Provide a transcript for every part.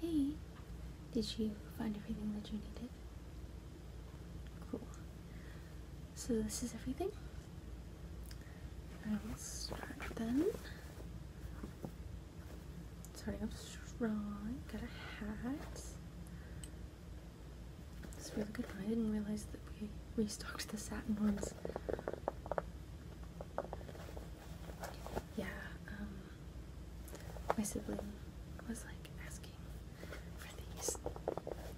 Hey, did you find everything that you needed? Cool. So this is everything. I will start then. Starting up strong. Got a hat. It's really good. I didn't realize that we restocked the satin ones yeah, um, my sibling was like asking for these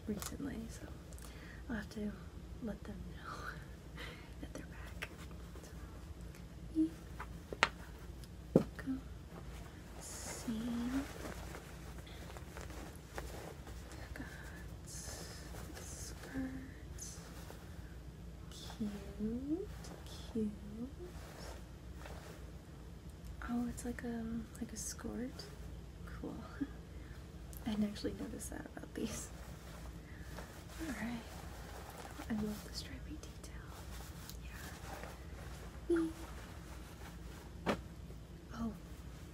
recently, so I'll have to let them know that they're back. So, we go see. Got a Cute, cute. Oh, it's like a like a skirt. Cool. I didn't actually notice that about these. Alright. I love the stripy detail. Yeah. Oh,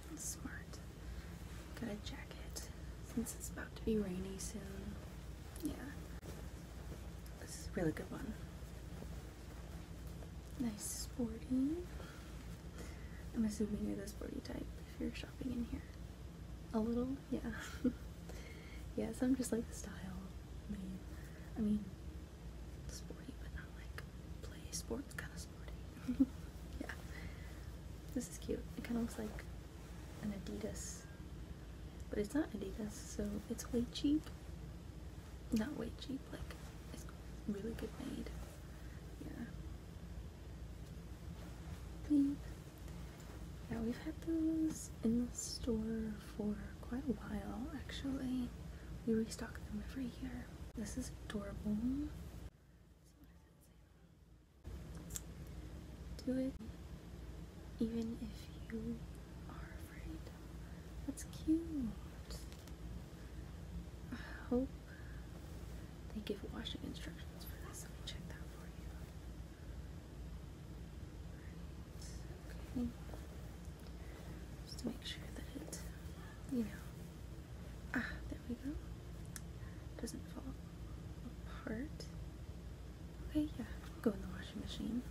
that's smart. Good job since it's about to be rainy soon. Yeah. This is a really good one. Nice sporty. I'm assuming you're the sporty type if you're shopping in here. A little? Yeah. yes, I'm just like the style. I mean sporty, but not like play sports kind of sporty. yeah. This is cute. It kind of looks like an Adidas, but it's not Adidas, so it's way cheap. Not way cheap, like it's really good made. Yeah. Yeah, we've had those in the store for quite a while, actually. We restock them every year. This is adorable. Do it even if you are afraid. That's cute. I hope they give washing instructions for this. Let me check that for you. Just to make sure that it, you know. Ah, there we doesn't fall apart. Okay, yeah, go in the washing machine.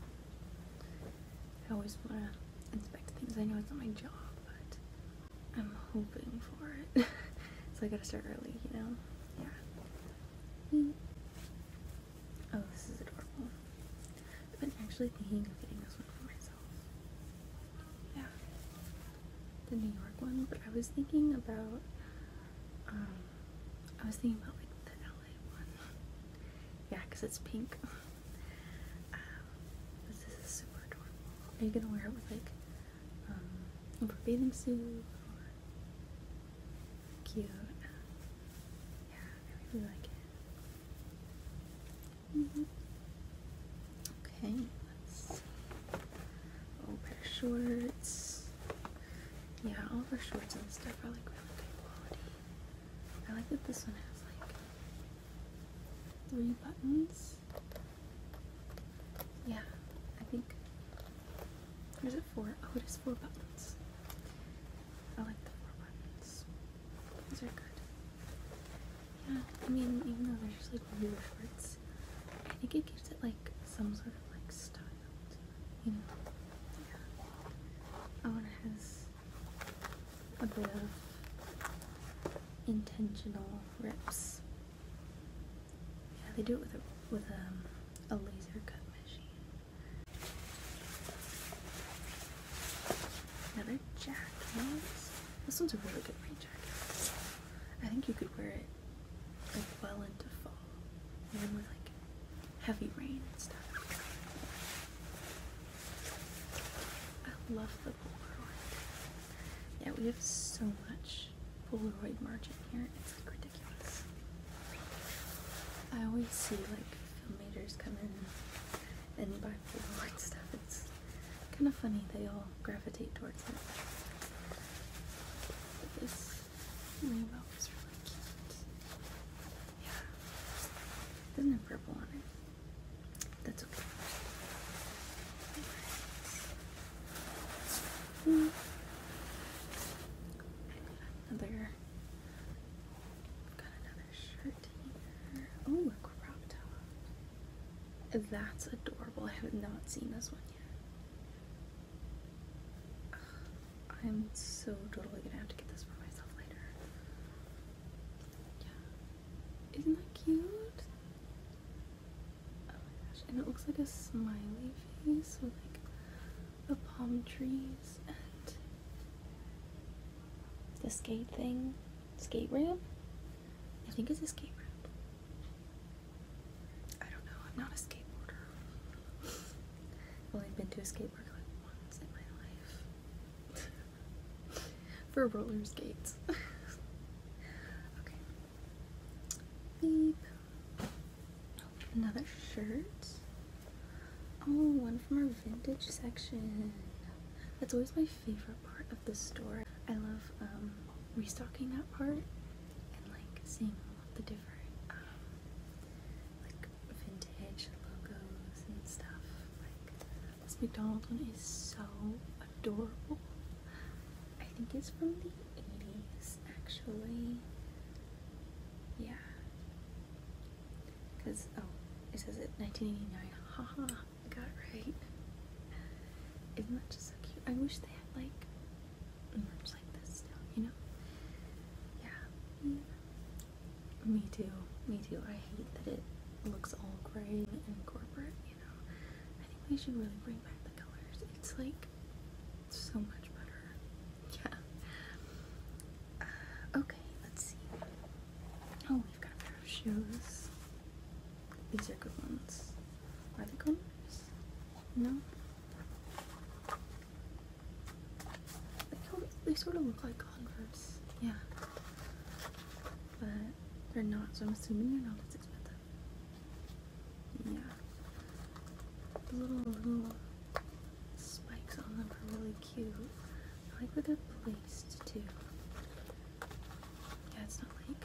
I always want to inspect things. I know it's not my job, but I'm hoping for it. so I gotta start early, you know? Yeah. Oh, this is adorable. I've been actually thinking of getting this one for myself yeah, the New York one. But I was thinking about, um, I was thinking about like the LA one. yeah, because it's pink. Um, this is super adorable. Are you gonna wear it with like, um, over bathing suit or cute? Yeah, I really like it. Okay, let's see. Old pair shorts. Yeah, all of our shorts and stuff are like really good quality. I like that this one has like three buttons. Yeah, I think. Or is it four? Oh, it is four buttons. I like the four buttons. These are good. Yeah, I mean, even though they're just like real shorts, I think it gives it like some sort of like style you know? Yeah. Oh, and it has a bit of intentional rips. Yeah, they do it with with a, um, a laser cut machine. Another jacket. This one's a really good rain jacket. I think you could wear it like well into fall, even with like heavy rain and stuff. I love the Polaroid. Yeah, we have so much Polaroid merchant here. It's like ridiculous. I always see like filmmakers come in and buy Polaroid stuff. It's kind of funny they all gravitate towards it. this rainbow is really cute. Yeah. Doesn't have purple on it. That's okay. Hmm. another Oh, a crop top. That's adorable. I have not seen this one yet. I'm so totally gonna have to get this for myself later. Isn't that cute? Oh and it looks like a smiley face with like the palm trees and the skate thing, skate ramp. I think it's a skate ramp. I don't know. I'm not a skateboarder. have only been to a skate park once in my life for roller skates. okay. Another shirt. Oh, one from our vintage section. That's always my favorite part of the store. I love um, restocking that part and like seeing what the different um, like vintage logos and stuff. Like this McDonald's one is so adorable. I think it's from the 80s actually. Yeah. Because, oh, it says it 1989. Haha, -ha, I got it right. Isn't that just so cute? I wish they had, like, merch like this still, you know? yeah. Me too. Me too. I hate that it looks all gray and corporate, you know? I think we should really bring back the colors. It's, like, so much better yeah. Uh, okay, let's see. Oh, we've got a pair of shoes. These are good ones. Are they good ones? No? They sort of look like Converse. Yeah. But they're not, so I'm assuming they're not as expensive. Yeah. The little, little spikes on them are really cute. I like where they're placed too. Yeah, it's not like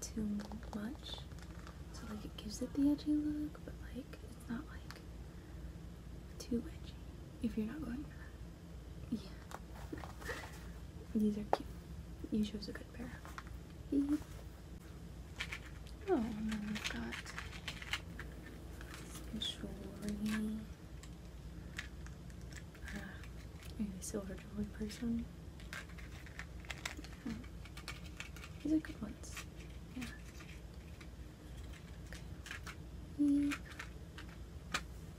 too much. So like it gives it the edgy look, but like it's not like too edgy if you're not going Yeah. These are cute. You chose a good pair. Beep. Oh, and then we've got some jewelry. Uh, maybe a silver jewelry person. These are good ones. Yeah. Okay.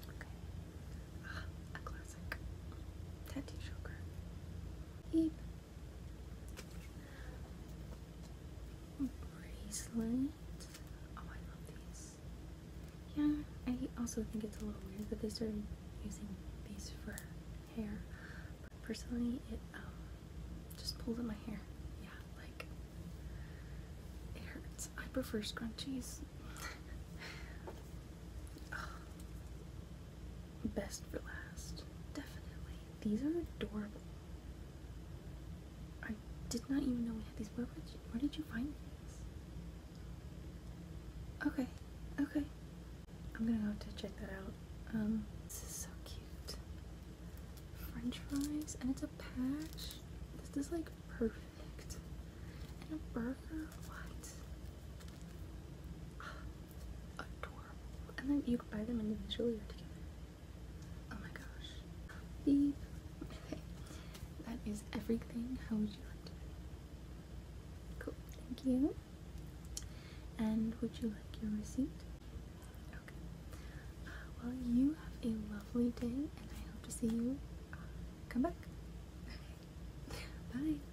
Okay. Ah, classic. Tattoo joker bracelet. Oh, I love these. Yeah, I also think it's a little weird that they started using these for hair. personally, it um, just pulls at my hair. Yeah, like it hurts. I prefer scrunchies. best for last. Definitely. These are adorable. I did not even know we had these. Where, did you find these? Okay. Okay. I'm gonna have to check that out. Um, this is so cute. French fries, and it's a patch. This is like perfect. And a burger? What? adorable. And then you buy them individually or together. Oh my gosh. Beep. Okay. That is everything. How would you like to pay? Cool. Thank you. And would you like your receipt? Okay. well, you have a lovely day and I hope to see you uh, come back. Bye.